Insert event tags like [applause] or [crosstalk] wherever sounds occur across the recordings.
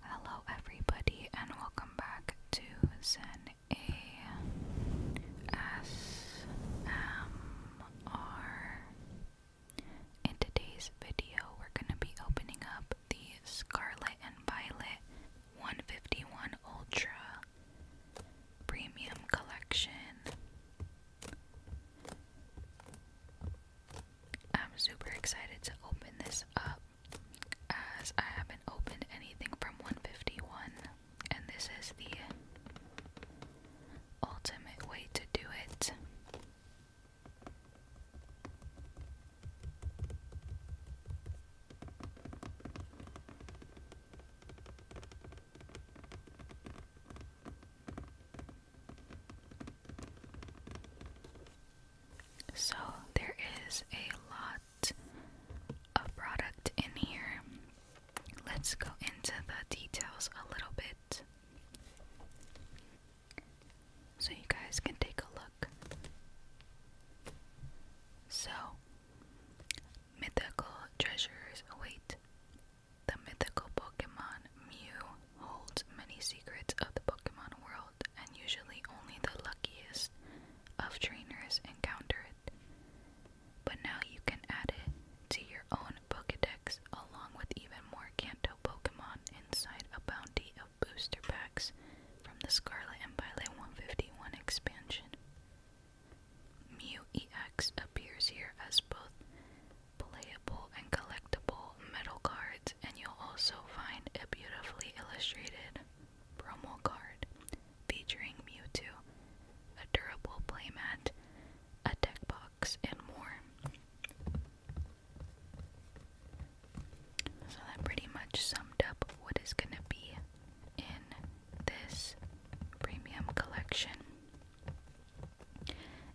Hello, everybody, and welcome back to Zen ASMR. In today's video, we're going to be opening up the Scarlet and Violet 151 Ultra Premium Collection. I'm super excited to open this up as I haven't opened anything from 151, and this is the ultimate way to do it. So there is a lot of product in here. Let's go into the details a little bit. So you guys can take a look. So, mythical treasures await. The mythical Pokemon Mew holds many secrets of the Pokemon world and usually only the luckiest of trainers encounter it. But now you can add it to your own Pokedex along with even more Kanto Pokemon inside a bounty of booster packs from the Scarlet and Violet 151 expansion. Mew EX appears here as both playable and collectible metal cards, and you'll also find a beautifully illustrated promo card featuring Mewtwo, a durable playmat, a deck box, and more. So that pretty much summed up what is going to be in this premium collection.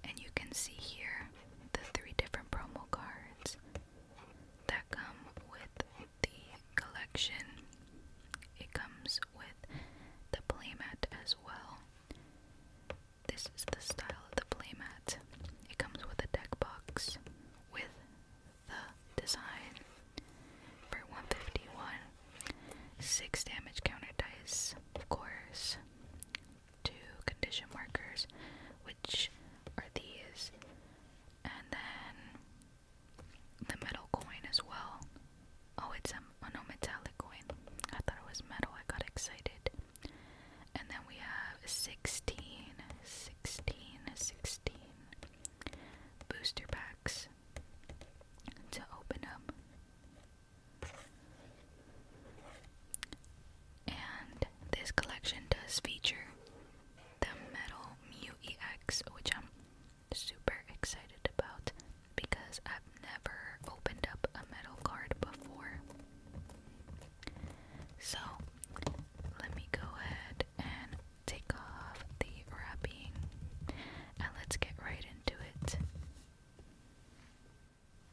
And you can see here the three different promo cards that come with the collection. It comes with the playmat as well. This is the style of the playmat. It comes with a deck box with the design for 151. Six damage counter dice, of course to condition markers, which are these, and then the metal coin as well. Oh, it's a, a metallic coin. I thought it was metal. I got excited. And then we have 16, 16, 16 booster packs to open up. And this collection does feature the metal Mew which I'm super excited about because I've never opened up a metal card before. So let me go ahead and take off the wrapping and let's get right into it.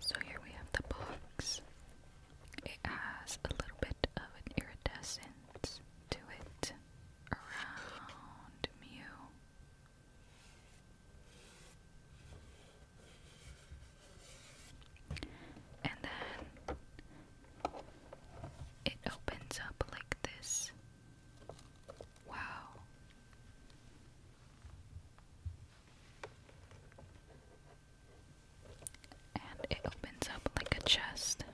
So here we have the box. It has a little bit of an iridescence to it around Mew. And then it opens up like this. Wow and it opens up like a chest.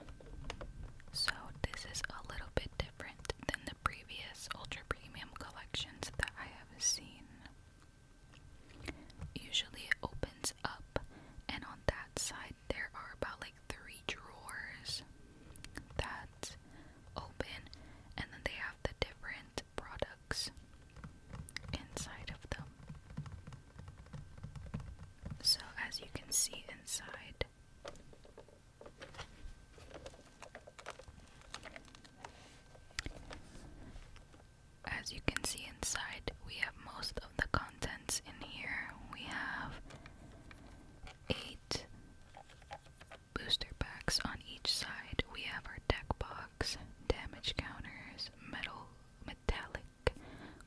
So, this is a little bit different than the previous ultra premium collections that I have seen. Usually, it opens up, and on that side, there are about like three drawers that open, and then they have the different products inside of them. So, as you can see inside, as you can see inside, we have most of the contents in here. We have eight booster packs on each side. We have our deck box, damage counters, metal metallic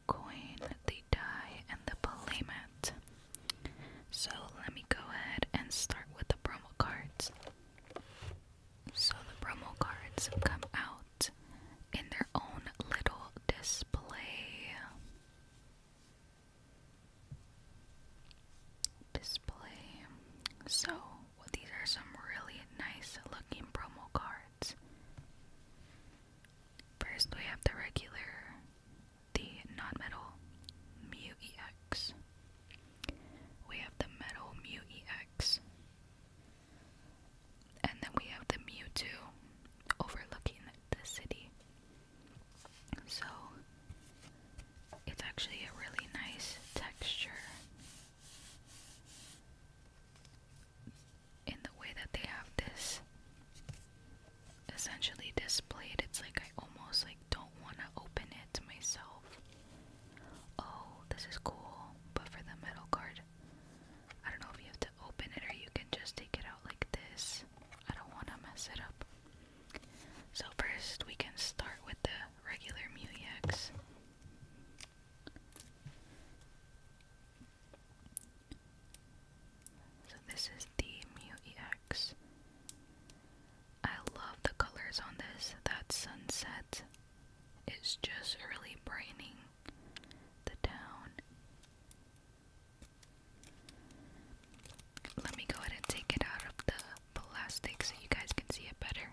coin, the die, and the playmat. So let me go ahead and start with the promo cards. So the promo cards come out in their own little display. Display. So these are some really nice looking promo cards. First, we have the regular, the non-metal MUEX. We have the metal MUEX, And then we have the Mewtwo overlooking the city. So it's actually a really nice texture in the way that they have this essentially displayed, it's like I almost like don't want to open it to myself. Oh, this is cool, but for the metal card, I don't know if you have to open it or you can just take it out like this. I don't want to mess it up. So first, we can start with the regular Mulex. So this is the Mew EX. love the colors on this. That sunset is just really brightening the town. Let me go ahead and take it out of the plastic so you guys can see it better.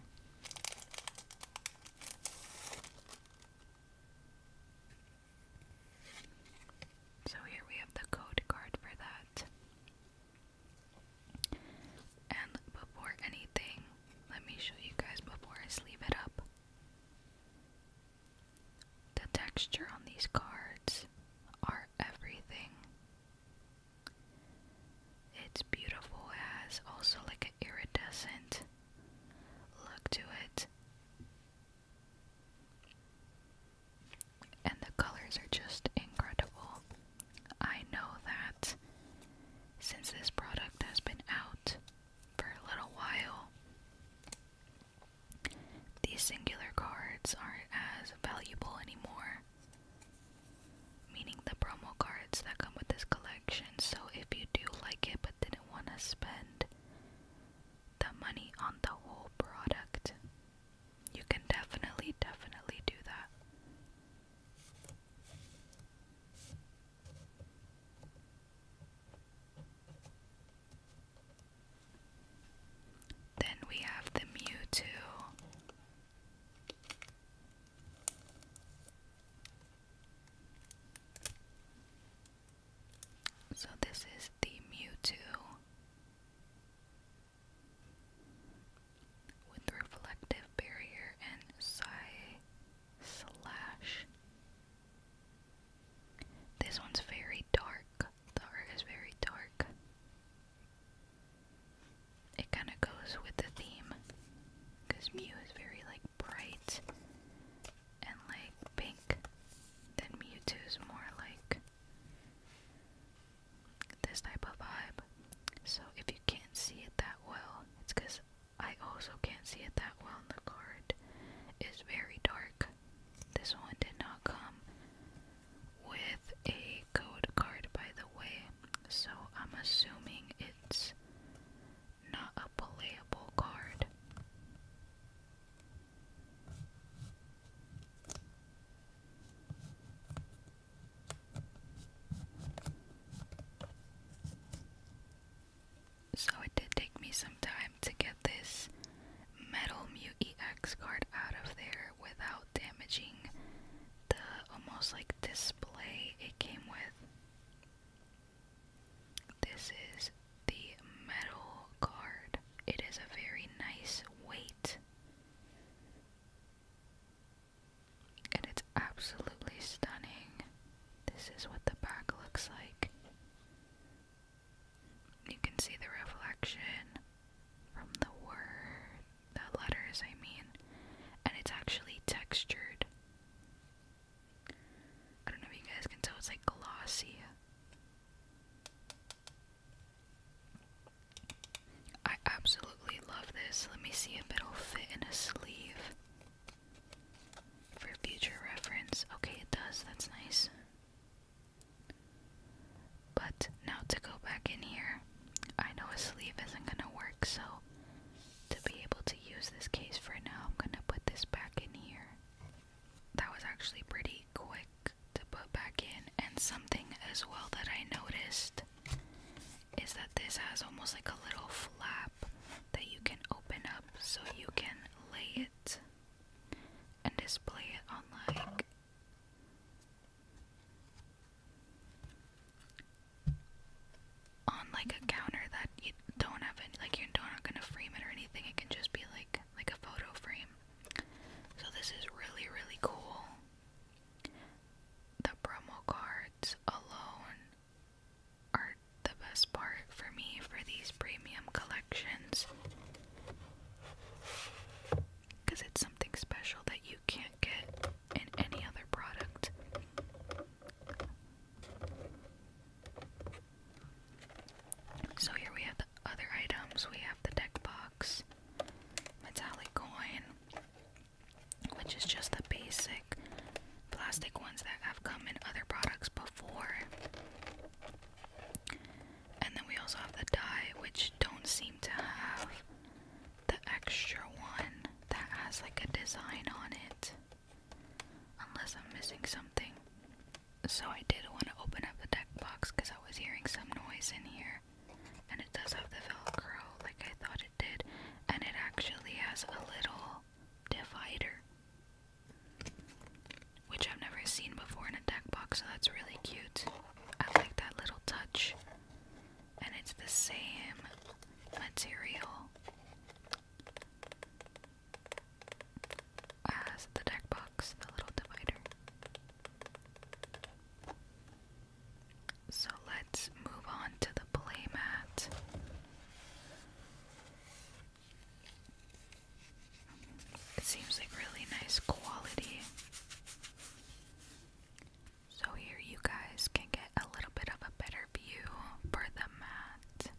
So here we have the code card for that. And before anything, let me show you guys before I sleeve it up. The texture on these cards are everything. It's beautiful, it has also like an iridescent look to it. And the colors are just incredible. I know that since this product has been out for a little while, these singular cards aren't as valuable anymore. Meaning the promo cards that come with this collection. So if you do like it but didn't want to spend the money on the whole product. You can definitely, definitely do that. Then we have the Mewtwo. So this is the Mewtwo with reflective barrier and Psy slash. This one's very dark. The art is very dark. It kind of goes with the theme because mu is very like bright and like pink. Then Mewtwo's more like this type of vibe. So if you can't see it that well, it's because I also can't see it that well. And the card is very dark. This one did not come with a code card, by the way. So I'm assuming it's not a playable card. So it did take me some time to get this metal Mew EX card out of there without damaging the almost like display it came with. This is the metal card. It is a very nice weight. And it's absolutely stunning. This is what the back looks like. You can see the reflection from the word, the letters, I mean, and it's actually textured. I don't know if you guys can tell, it's like glossy. I absolutely love this. Let me see if it'll fit in a sleeve for future reference. Okay, it does. That's nice. But now to go back in here, I know a sleeve isn't going to work, so to be able to use this case for now, I'm going to put this back in here. That was actually pretty quick to put back in. And something as well that I noticed is that this has almost like a little flap that you can open up so you can lay it and display it on like on like a counter that you don't have any like you're not gonna frame it or anything it can just be like like a photo frame. So this is really, really cool. The promo cards alone are the best part for me for these premium collections. Because it's something special that you can't get in any other product. So here we have the other items. We have the deck box, metallic coin, which is just the basic plastic ones that have come in other products before. And then we also have the die, which don't seem to have the extra one that has like a design on it. Unless I'm missing something. So I did want to open up the deck box because I was hearing some noise in here. And it does have the velcro like I thought it did. And it actually has a little divider. Which I've never seen before in a deck box, so that's really cute. I like that little touch. And it's the same material as the deck box, the little divider. So let's move on to the playmat. It seems like really nice quality. So, here you guys can get a little bit of a better view for the mat.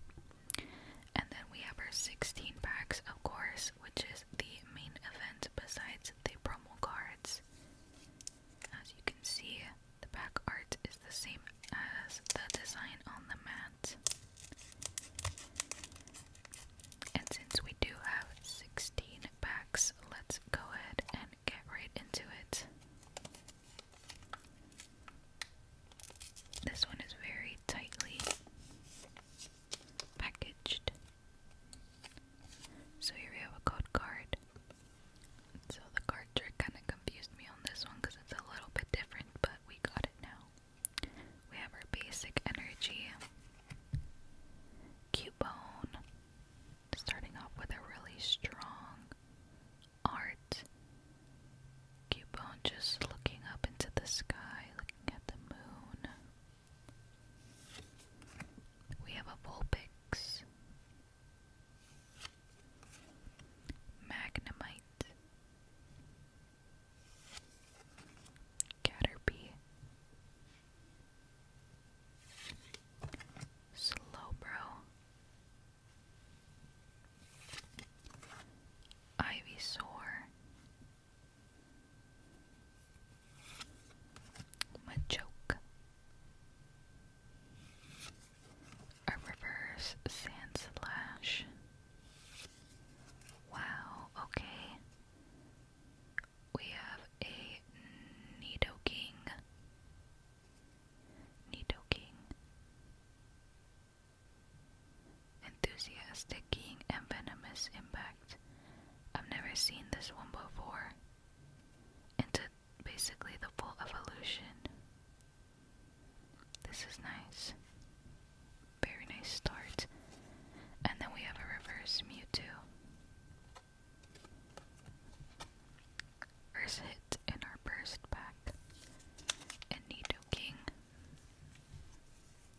And then we have our 16 packs, of course, which is the main event besides the promo cards. As you can see, the back art is the same as the design on the mat. And since we do have 16 packs, let's go ahead and get right into it. This one is very tightly packaged. So here we have a code card. So the card trick kind of confused me on this one because it's a little bit different, but we got it now. We have our basic energy, Cubone, starting off with a really strong art, Keep on just looking up into the sky, looking at the moon. We have a Vulpix. Magnemite. Caterpie. Slowbro. Ivysaur. Machoke. A reverse sand slash. Wow, okay. We have a Nidoking. Nidoking. Enthusiastic keen and venomous impact. I've never seen this one before. Into basically the full evolution. This is nice. Very nice start. And then we have a reverse Mewtwo. First hit in our burst pack. And Nidoking.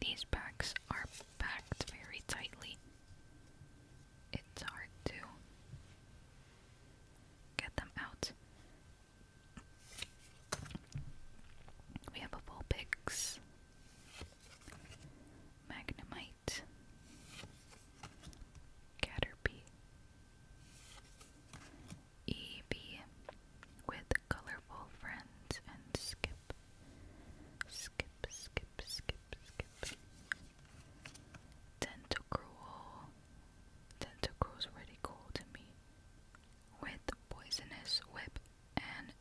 These packs are packed very tightly. It's hard to get them out. We have a full Pix. Magnemite, Caterpie, Eevee with colorful friends and skip, skip, skip, skip, skip. Tentacruel, Tentacruel's really cool to me. With poisonous whip and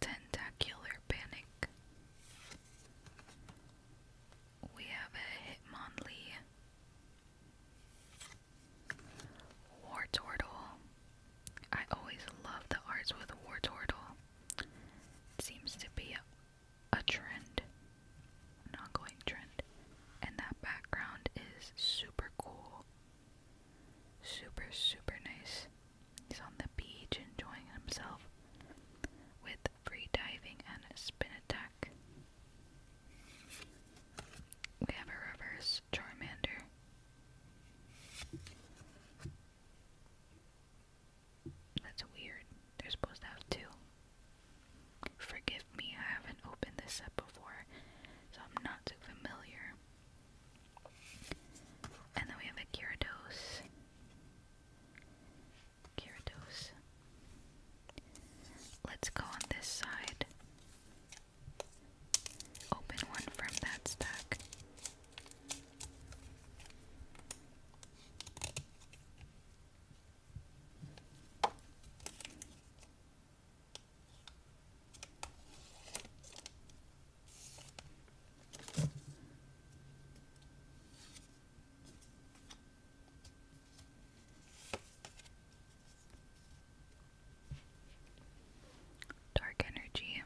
Tentacular Panic. We have a Hitmonlee, War I always love the arts with War seems to be a trend, an ongoing trend. And that background is super cool. Super, super nice. He's on the beach enjoying himself with free diving and a spin attack. We have a reverse Charmander. That's weird. They're supposed to have two. Forgive me, I haven't opened this up before, so I'm not too familiar and then we have a Gyarados. Gyarados. Let's go on this side. Open one from that stack. Dark Energy,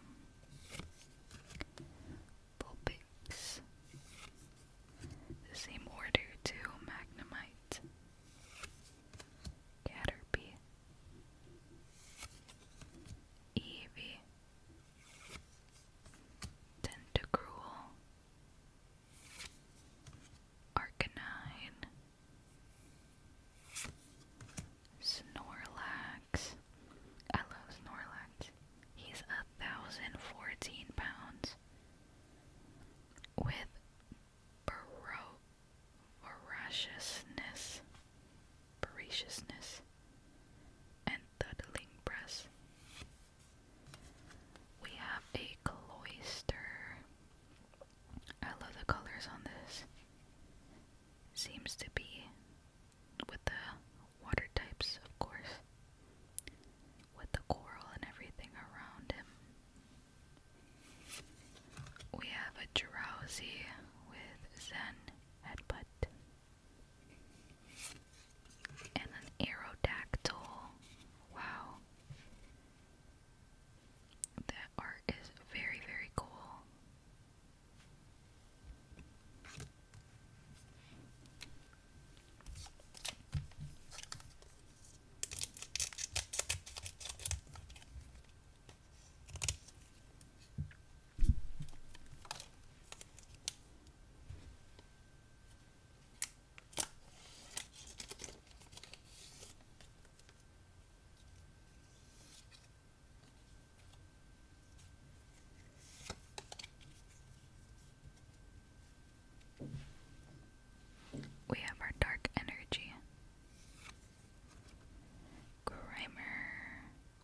Vulpix, same order to Magnemite, Caterpie, Eevee, Tentacruel, Arcanine, Snorlax. I love Snorlax. He's a thousand fourteen pounds with baro voraciousness, voraciousness, and Dudling Press. We have a cloister. I love the colors on this. Seems to be with the water types, of course, with the coral and everything around him. We have a drowsy with Zen headbutt and an aerodactyl. Wow. That art is very, very cool. We have our dark energy. Grimer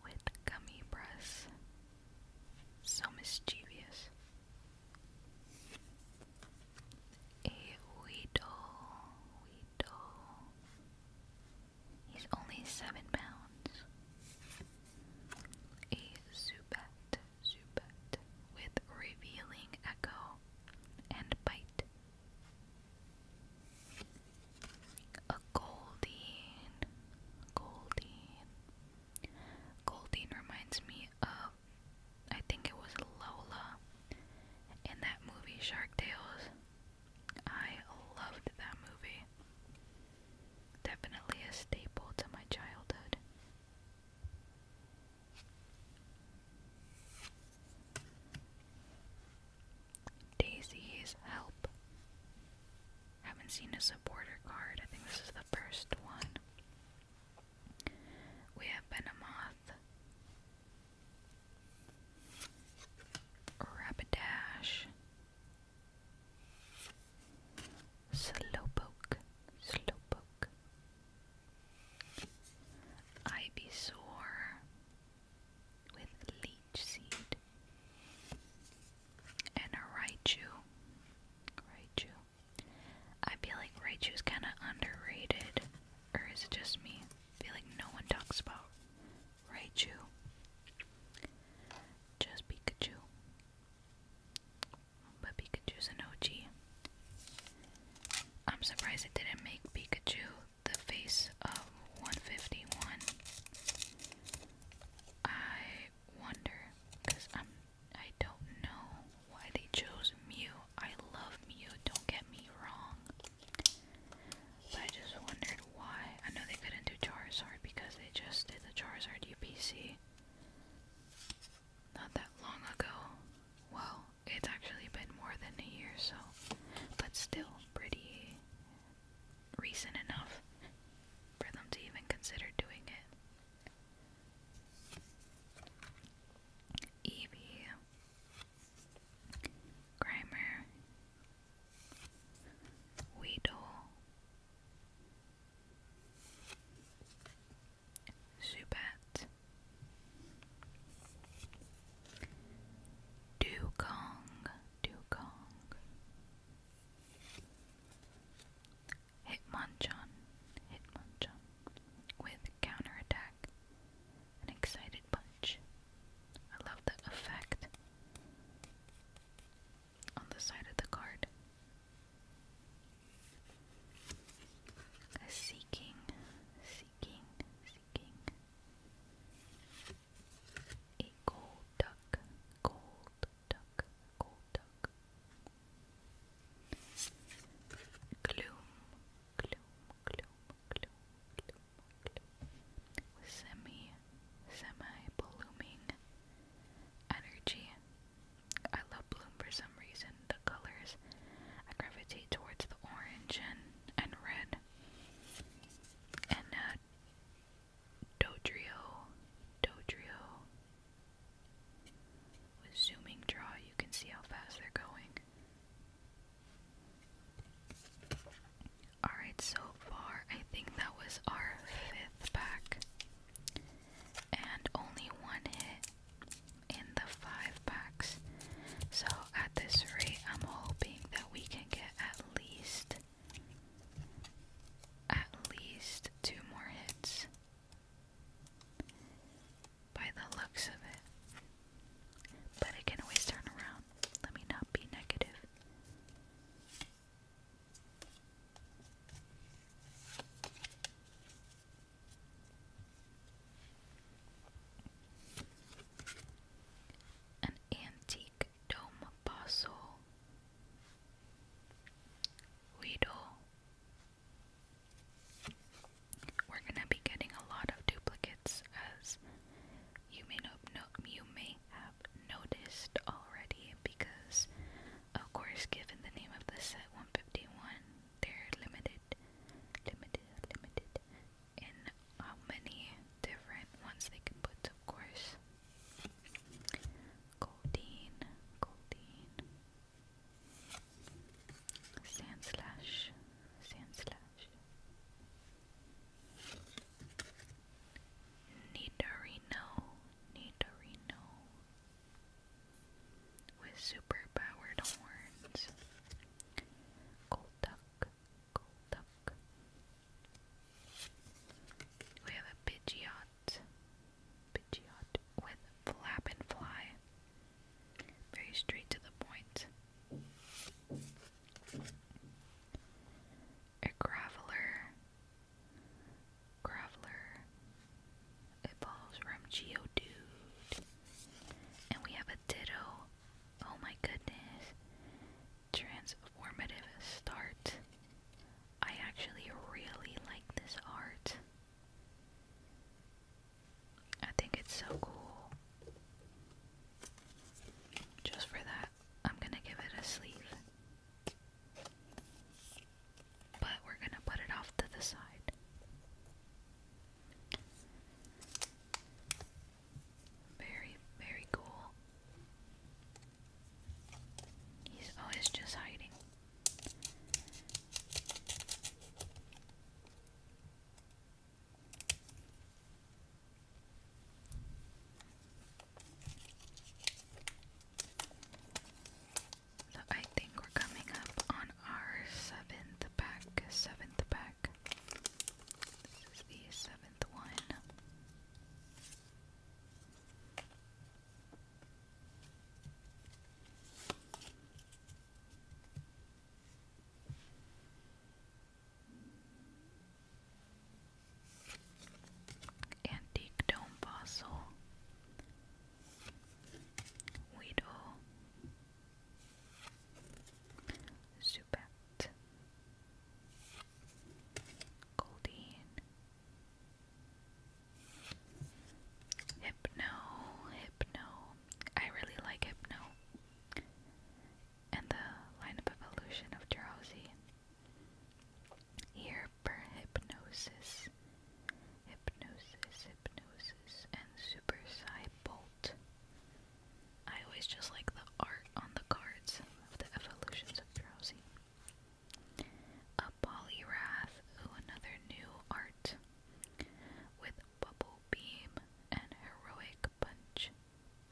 with gummy breasts. So mischievous. A Weedle, Weedle. He's only seven pounds. A Zubat, Zubat, with revealing echo and bite a Goldine, Goldine. Goldine reminds me of, I think it was Lola in that movie Shark Tales. I loved that movie. Definitely a staple to my childhood. Daisy's help. Haven't seen a supporter card. I think this is the first one. We have Venomoth, Rapidash, Slowpoke, Slowpoke, Ivysaur with Leech each seed. And a Raichu. Raichu. I feel like Raichu's kind of underrated. Or is it just me? feel like no one talks about Raichu. Just Pikachu. But Pikachu's an OG. I'm surprised it didn't make Pikachu the face of 151. I wonder, cause I'm I don't know why they chose Mew. I love Mew. Don't get me wrong. But I just wondered why. I know they couldn't do Charizard because they just did the Charizard UPC not that long ago. Well, it's actually been more than a year, so. But still, pretty Recent enough for them to even consider doing it. Evie, Grimer, Weedle, Zubat, Dugong, Dugong, Hit Hitmonchan, Hitmonchan, with counter attack, an excited punch. I love the effect on the side of the card. A seeking, seeking, seeking gold duck, gold duck, gold duck. Gloom, gloom, gloom, gloom, gloom, gloom. Semi, semi blooming energy. I love bloom for some reason. The colors I gravitate towards the orange and, and red. And uh Dodrio, Dodrio. zooming draw, you can see how fast they're going. Alright, so far, I think that was our fifth pack. And only one hit in the five packs. So at this rate, I'm hoping that we can get at least at least two more hits by the looks of it. But it can always turn around. Let me not be negative. An antique Dom Paso, Guido. We're gonna be getting a lot of duplicates, as you may have noticed already, because of course, given the name of the set, 151, they're limited, limited, limited in how many different ones they can put, of course. Goldine, Goldine, Sand Slash, Nidorino, Nidorino, with super horns, Golduck, Golduck, rock. We have a Pidgeot. Pidgeot with flap and fly. Very straight to the point. A Graveler. Graveler. Evolves from Geodude. And we have a Ditto. Oh my goodness transformative start. I actually really like this art. I think it's so cool. Just for that, I'm gonna give it a sleeve. But we're gonna put it off to the side. Very, very cool. He's always just hiding. So I think we're coming up on our seventh pack. Seventh pack. This is the seventh one. Antique dome fossil, Weedle, Zubat, Goldine. Hypno, Hypno. I really like Hypno. And the lineup evolution of drowsy. Here per hypnosis. Hypnosis, hypnosis, and super bolt. I always just like the art on the cards of the evolutions of drowsy. A polyrath, oh another new art, with bubble beam and heroic punch,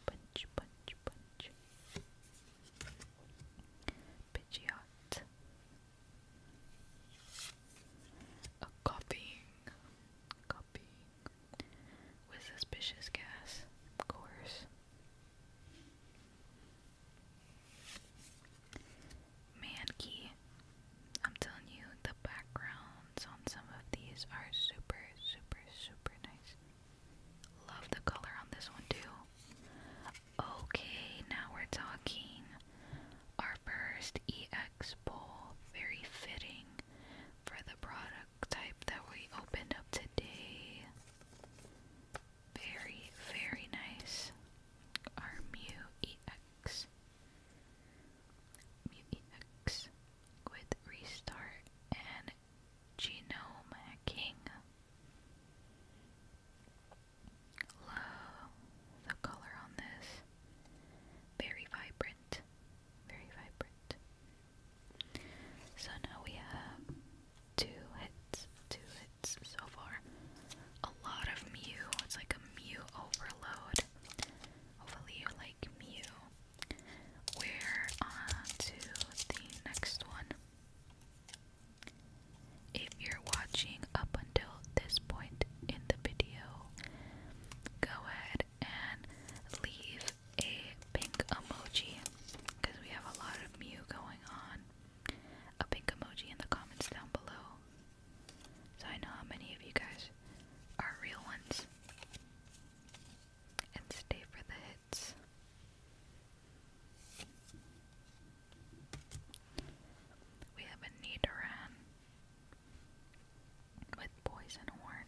punch, punch, punch. Pidgeot. A copying, copying, with suspicious gas, of course. Mankey. I'm telling you, the backgrounds on some of these are super, super, super nice. Love the color on this one too. Okay, now we're talking. Our first EX bowl, very fitting for the product type that we opened up today. Very, very nice. Our Mew with Restart and Genome Love the color on this. Very vibrant. Very vibrant. So now we have two hits, two hits so far. A lot of Mew. It's like a Mew overload. Hopefully you like Mew. We're on to the next one. If you're watching up until this point in the video, go ahead and leave a pink emoji because we have a lot of Mew going on a pink emoji in the comments down below. So I know how many of you guys are real ones. And stay for the hits. We have a Nidoran with poison horn.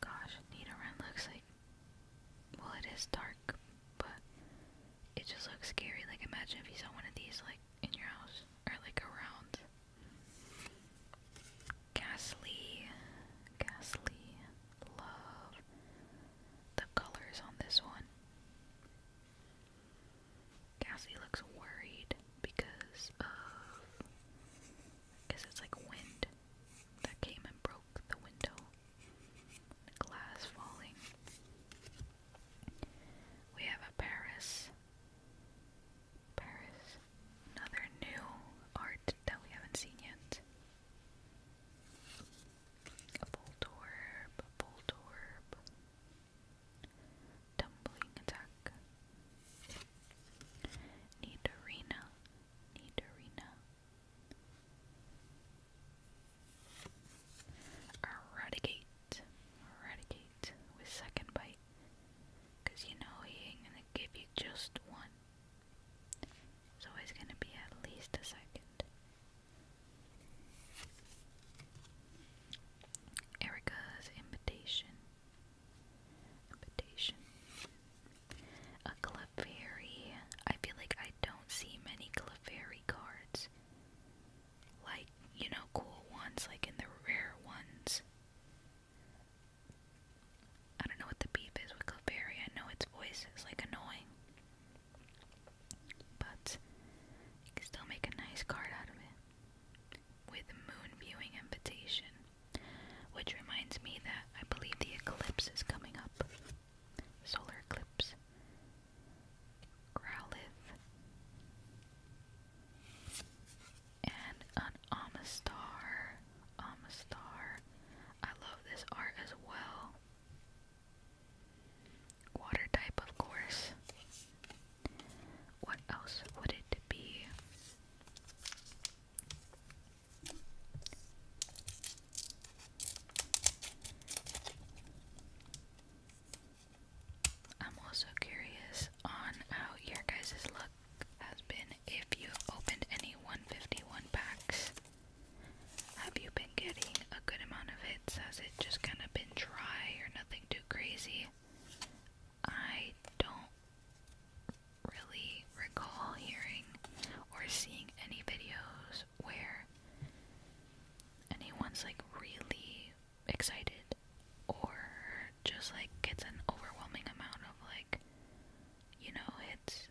Gosh, Nidoran looks like, well it is dark, but it just looks scary. Like imagine if you saw one of these like in your house, or like around. Ghastly, ghastly, love the colors on this one. Ghastly looks worried because of, because it's like wind that came and broke the window, glass falling. We have a Paris. Paris. Another new art that we haven't seen yet. A Voltorb, a Voltorb. Tumbling attack. Nidorina, Nidorina. Eradicate. Eradicate with second bite. you know he ain't gonna give you just one. It's always gonna be at least a second. Erica's invitation. Invitation. A Clefairy. I feel like I don't see many Clefairy cards. Like, you know, cool ones, like in the rare ones. I don't know what the beef is with Clefairy. I know its voice is like annoying. But you can still make a nice card out of it. With moon viewing invitation. Which reminds me that I believe the eclipse is coming up. Solar Eclipse, Growlithe, and an Amistar. Amistar. I love this art as well. Water type, of course. What else would it be? I'm also curious on how your guys' luck has been if you've opened any 151 packs. Have you been getting a good amount of hits? Has it just kind of been dry or nothing too crazy? I don't really recall hearing or seeing any videos where anyone's like really excited or just like gets an overwhelming amount of like you know it's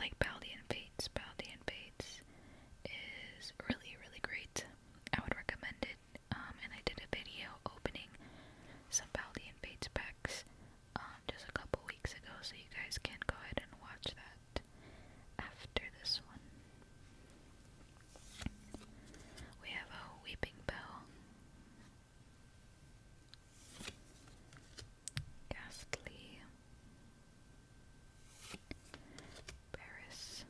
like Baldian Fates Baldian Fates is really really great I would recommend it um and I did a video opening some and Fates packs um, just a couple weeks ago, so you guys can go ahead and watch that after this one. We have a weeping bell, ghastly, Paris.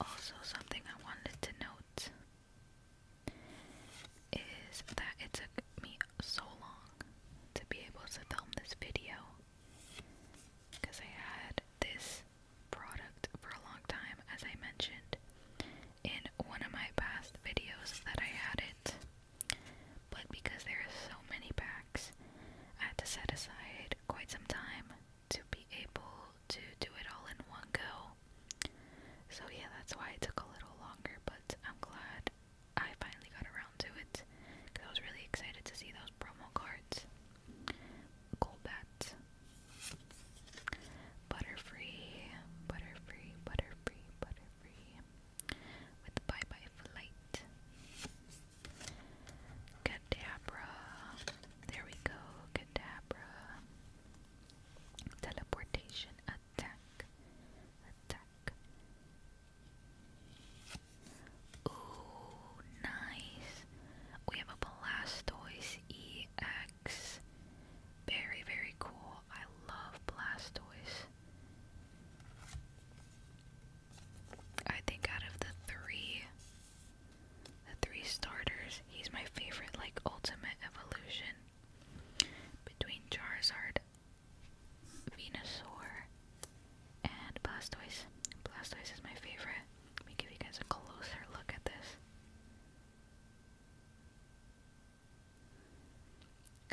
Also, something I wanted to note is that it took me so long to be able to film this video because I had this product for a long time, as I mentioned in one of my past videos that I had it. But because there are so many packs, I had to set aside quite some time to be able to do it all in one go. So, yeah, that's why it took a little longer, but I'm glad I finally got around to it because I was really excited to see those promo cards. Golbat, Butterfree, Butterfree, Butterfree, Butterfree, with Bye Bye Flight, Kadabra, there we go, Kadabra, Teleportation Attack, Attack back. Ooh, nice. We have a Blastoise EX. Very, very cool. I love Blastoise. I think out of the three, the three starters, he's my favorite, like, ultimate evolution. Between Charizard, Venusaur, and Blastoise. Blastoise is my favorite. Let me give you guys a closer look at this.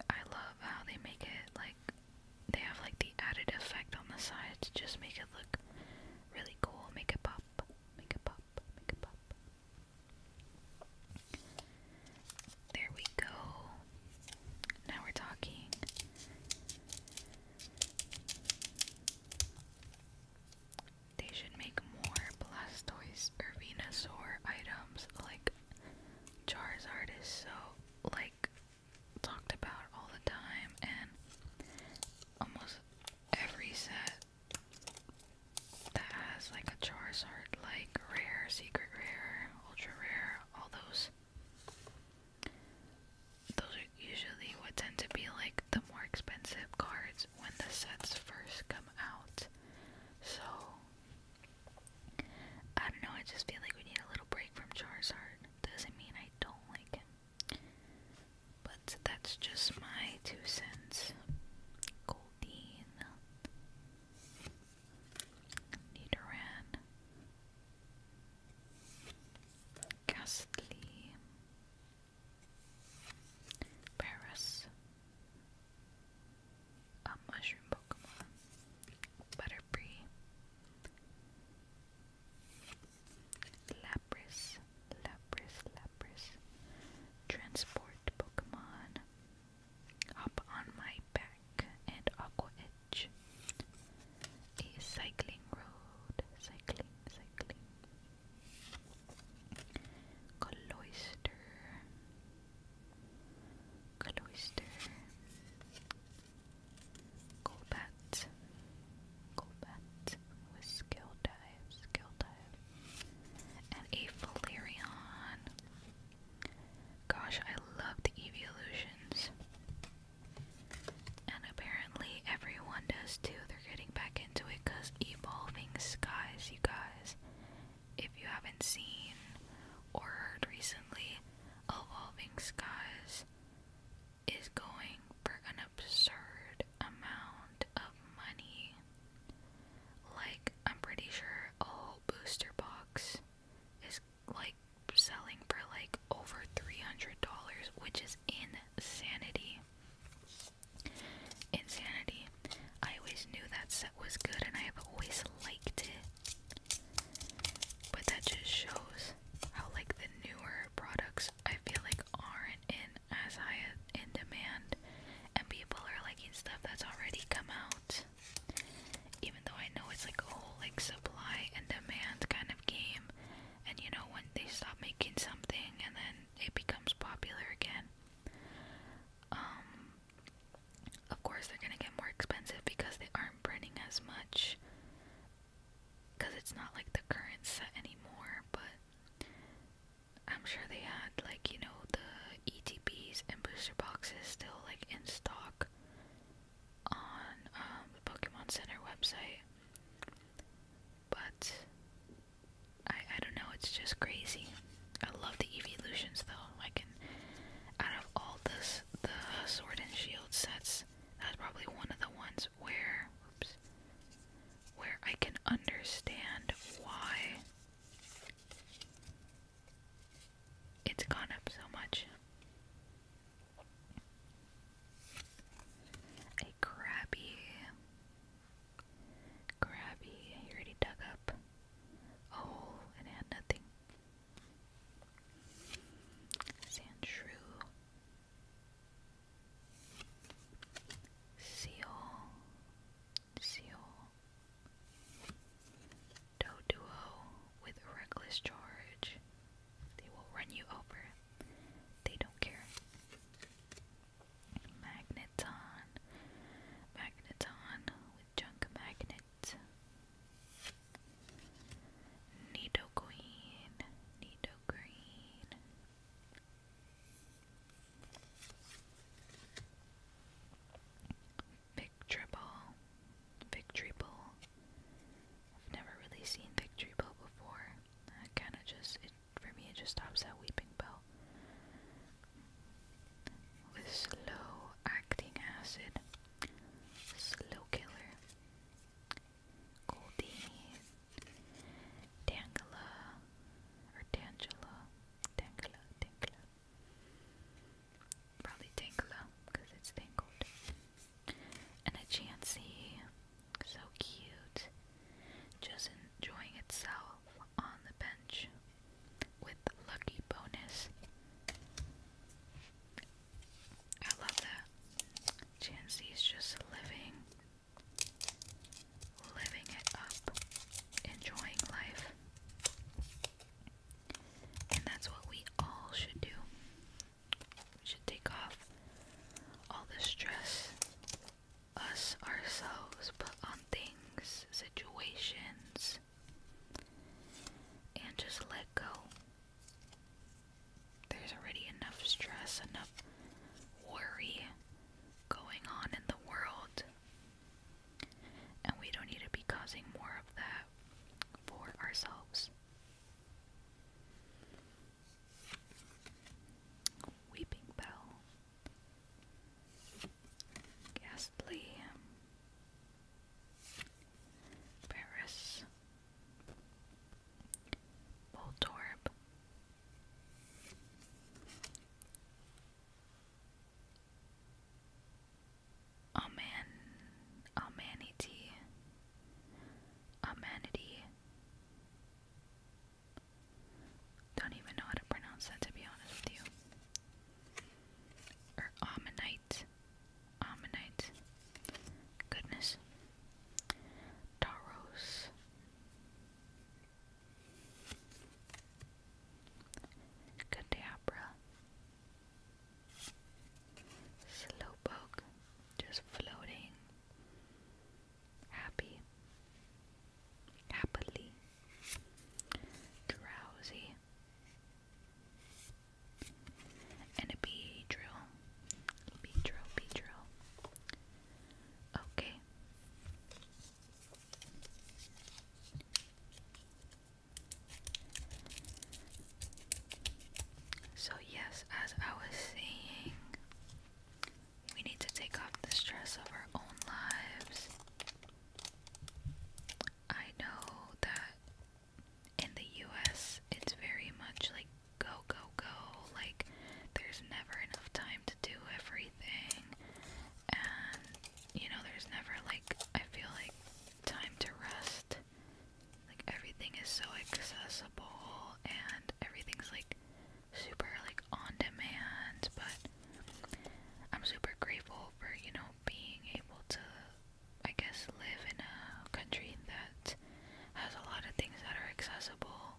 I love how they make it like they have like the added effect on the side to just make it look really cool, make it pop, make it pop, make it pop. There we go. Now we're talking. They should make more Blastoise or Venusaur items like Charizard is so like talked about all the time and almost every set that has like a Charizard like rare, secret rare ultra rare, all those. Those are usually what tend to be like the more expensive cards when the sets first come out. So, I don't know, I just feel like we need a little break from Charizard. Doesn't mean I don't like him. But that's just my two cents. Goldine. Nidoran, Ghastly, Paris, a mushroom Pokemon, Butterfree, Lapras, Lapras, Lapras, Transport Pokemon. Up on my back and aqua edge. A cycling road. Cycling, cycling. Cloister. Cloister. Golbat. Golbat with skill dives, skill dives, And a Valerian. Gosh, I love the EV Illusions. And apparently everyone does too. They're getting back into it because Evolving Skies, you guys. If you haven't seen or heard recently, Evolving Skies is going for an absurd amount of money. Like, I'm pretty sure a booster box is like selling for like over $300, which is insanity. Insanity. I always knew that set was good and I have always liked it. But that just shows how like the newer products I feel like aren't in as high in demand and people are liking stuff that's already come out. Even though I know it's like a whole like supply and demand kind of game, and you know when they stop making something and then it becomes popular again. Um, of course they're gonna get more expensive because they aren't printing as much. Cause it's not like the current set anymore, but I'm sure they had like you know the ETPs and booster boxes still like in stock on um, the Pokemon Center website, but I I don't know. It's just crazy. I love the evolutions though. I can out of all this the Sword and Shield sets, that's probably one of the ones where oops where I can understand why it's gone up so much. A crabby, crabby. He already dug up a hole and had nothing. Sand seal, seal, Tow Duo with reckless charge. They will run you over. They don't care. Magneton. Magneton with Junk Magnet. Nidoqueen. Nidoqueen. Triple Victory Ball. I've never really seen Victory Ball before. I kind of just, for me, it just stops at Weeping Bell. With slow acting acid. Slow killer. Goldie. Dangela. Or Dangela. Dangela. Dangela. Probably Tangela, because it's tangled. And a Chansey, so cute, just enjoying itself on the bench with lucky bonus. I love that. Chansey is just living, living it up, enjoying life. And that's what we all should do. We should take off all the stress us ourselves put on things, situations, and just let go. There's already enough stress, enough worry going on in the world. And we don't need to be causing more of that for ourselves. Weeping Bell. Ghastly. Paris. Voltorb. Aman Amanity Amanity Don't even know how to pronounce that to be honest with you. Or er, Ammonite. Ammonite. Goodness. Taros. Cadabra. Slowpoke, just floating, happy, happily, drowsy, and a bee drill, bee drill, bee drill. Okay. So, yes, as I was saying, we need to take off the stress of our own lives. I know that in the US, it's very much like go, go, go. Like, there's never enough time to do everything. And you know, there's never like, I feel like, time to rest. Like, everything is so accessible and everything's like super like on demand, but I'm super grateful for, you know, being able to, I guess, live in a country that has a lot of things that are accessible.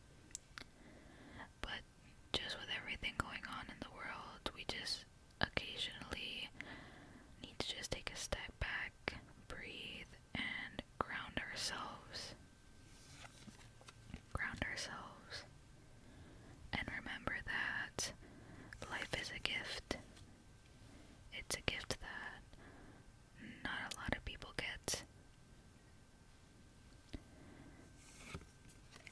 But just with everything going on in the world, we just occasionally need to just take a step back, breathe, and ground ourselves. Ground ourselves. And remember that life is a gift. It's a gift that not a lot of people get.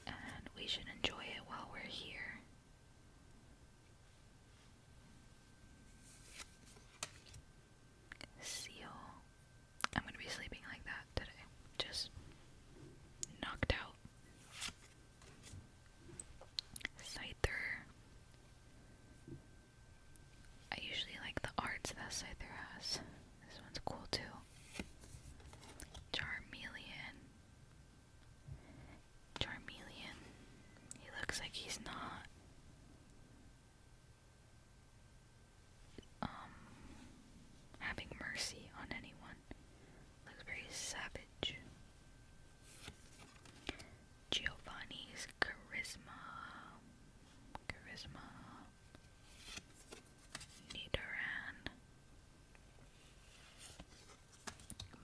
And we should enjoy it while we're here. Seal. I'm gonna be sleeping like that today. Just knocked out. Scyther. I usually like the arts that Scyther has. This one's cool too. Charmeleon. Charmeleon. He looks like he's not. Um, having mercy on anyone. Looks very savage. Giovanni's charisma. Charisma. Nidoran.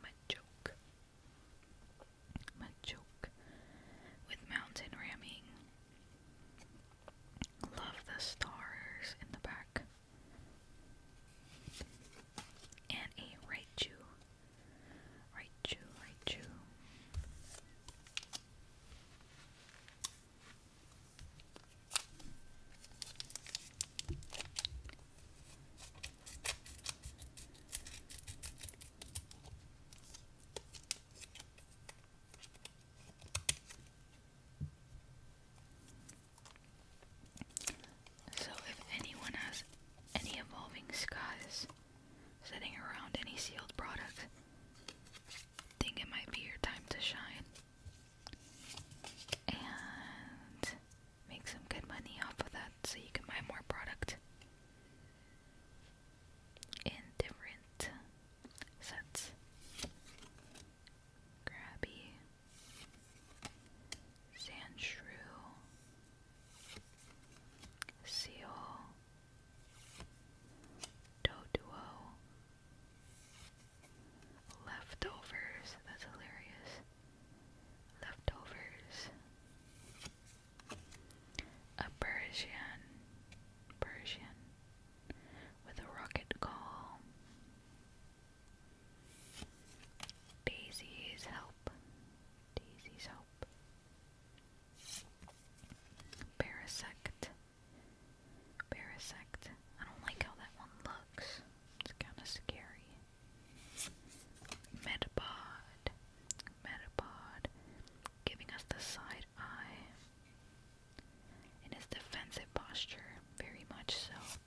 Machoke. Machoke with mountain ramming. Love the stars in the back. And a Raichu. Raichu, Raichu. So, if anyone has any evolving skies sitting around any sealed product, think it might be your time to shine. And make some good money off of that so you can buy more product in sets. Grabby, Sand Shrew, Seal, Doduo, Leftovers, that's hilarious leftovers, Persian, Persian with a rocket call, Daisy's help, Daisy's help, Parasect, Parasect. I don't like how that one looks. It's kind of scary. Metapod, Metapod, giving us the side eye in his defensive posture, very much so.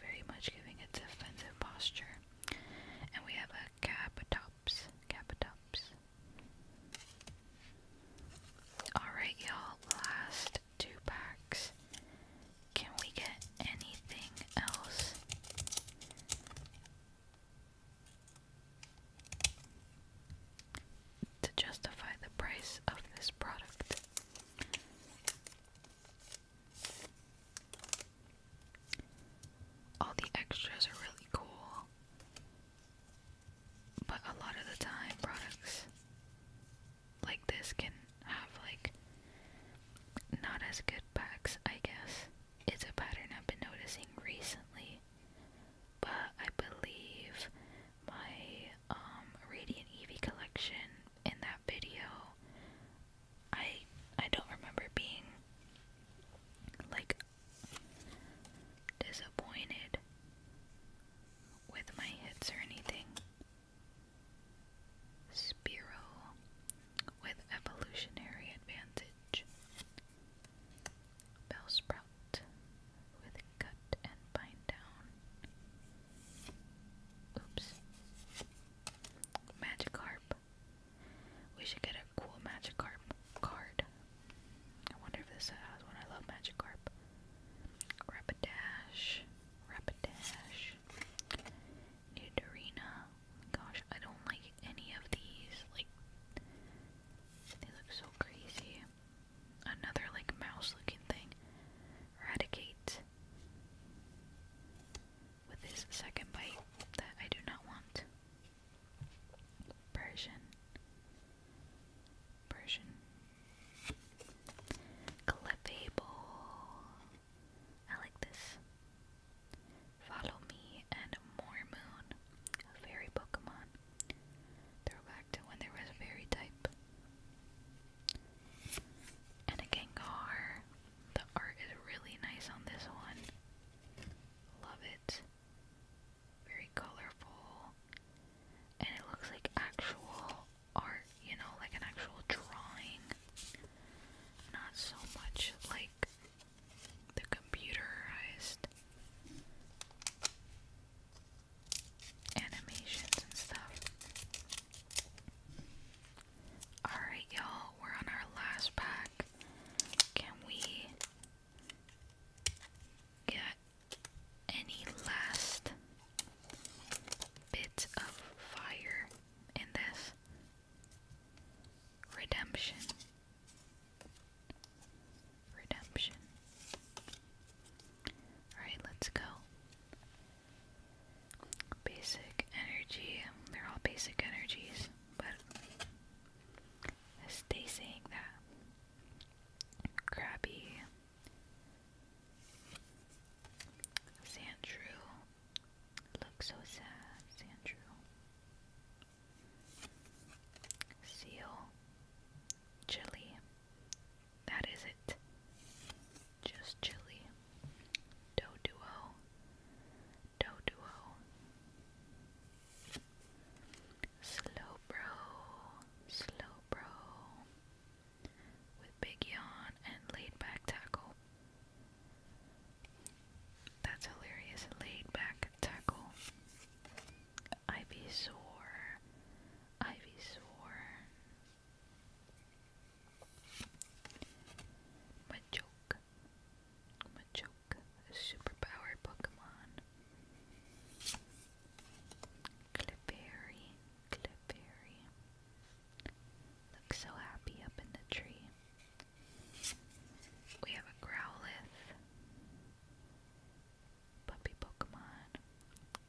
very much giving a defensive posture. And we have a Capitops, Capitops. Alright, y'all, last two packs. Can we get anything else? To justify the price of this product, all the extras are really cool, but a lot of the time, products like this can have like not as good backs, I guess. It's a pattern I've been noticing recently. But I believe my um Radiant Eevee collection in that video I I don't remember being like disappointed with my hits or anything. Spiral with evolutionary advantage. Bellsprout with cut and bind down. Oops. Magikarp. We should get a cool Magikarp card. I wonder if this has one. I love Magikarp. Rapidash. Rapidash. Neuterina. Gosh, I don't like any of these. Like, they look so crazy. Another, like, mouse looking thing. Eradicate. With this second bite that I do not want. Persian. Persian. Clefable. I like this. Follow Me and Mormoon, a fairy Pokemon. Throwback to when there was a fairy type. And a Gengar. The art is really nice on this one. Love it. Very colorful. And it looks like actual art, you know, like an actual drawing not so much like the computerized animations and stuff. Alright, y'all, we're on our last pack. Can we get any last bit of fire in this? Redemption. Redemption. Alright, let's go. Basic energy. They're all basic energies, but stay saying that. Crabby. Sandshrew. Look so sad, Sandrew. Seal. Chili. That is it. Just chili. Do duo. Do duo. Slow bro. Slow bro. With big yawn and laid back tackle. That's hilarious. Laid back tackle. Ivysaur. Ivysaur. Machoke. Machoke. A superpowered Pokemon. Clefairy. Clefairy. Looks so happy up in the tree. We have a Growlithe puppy Pokemon.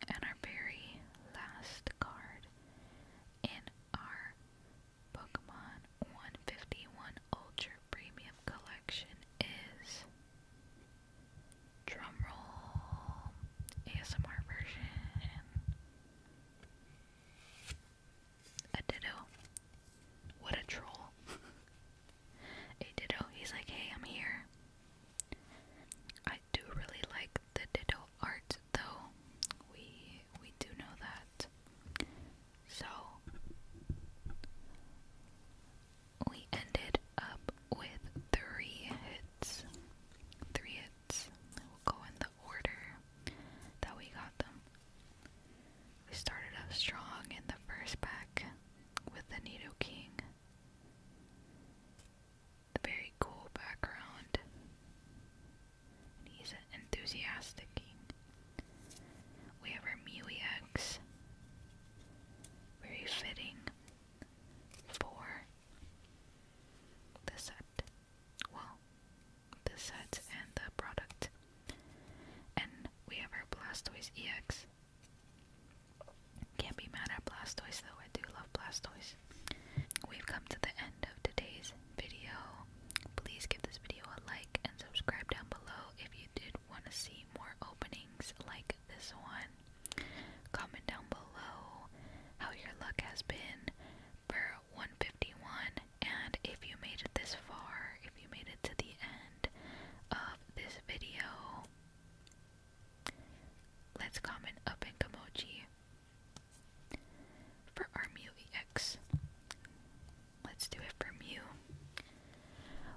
And our very last card in our Pokemon 151 Ultra Premium Collection is drumroll ASMR version a ditto. What a troll. [laughs] a ditto. He's like, hey, I'm here. I do really like the ditto art though. We we do know that. So we ended up with three hits. Three we will go in the order that we got them. We started off strong in the first pack with the Nido King. The very cool background. he's an enthusiastic We have our Mewy eggs. Very fitting for the set. Well, the set and the product. And we have our Blastoise EX. Can't be mad at Blastoise though, I do love Blastoise. We've come to the end of today's video. Please give this video a like and subscribe down below if you did want to see more openings like this one. Comment down below how your luck has been for 151. And if you made it this far, if you made it to the end of this video, let's comment up in Kamoji for our MUEX. Let's do it for Mew.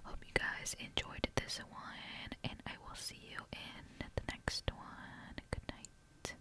Hope you guys enjoyed this one, and I will see you in the next one. Good night.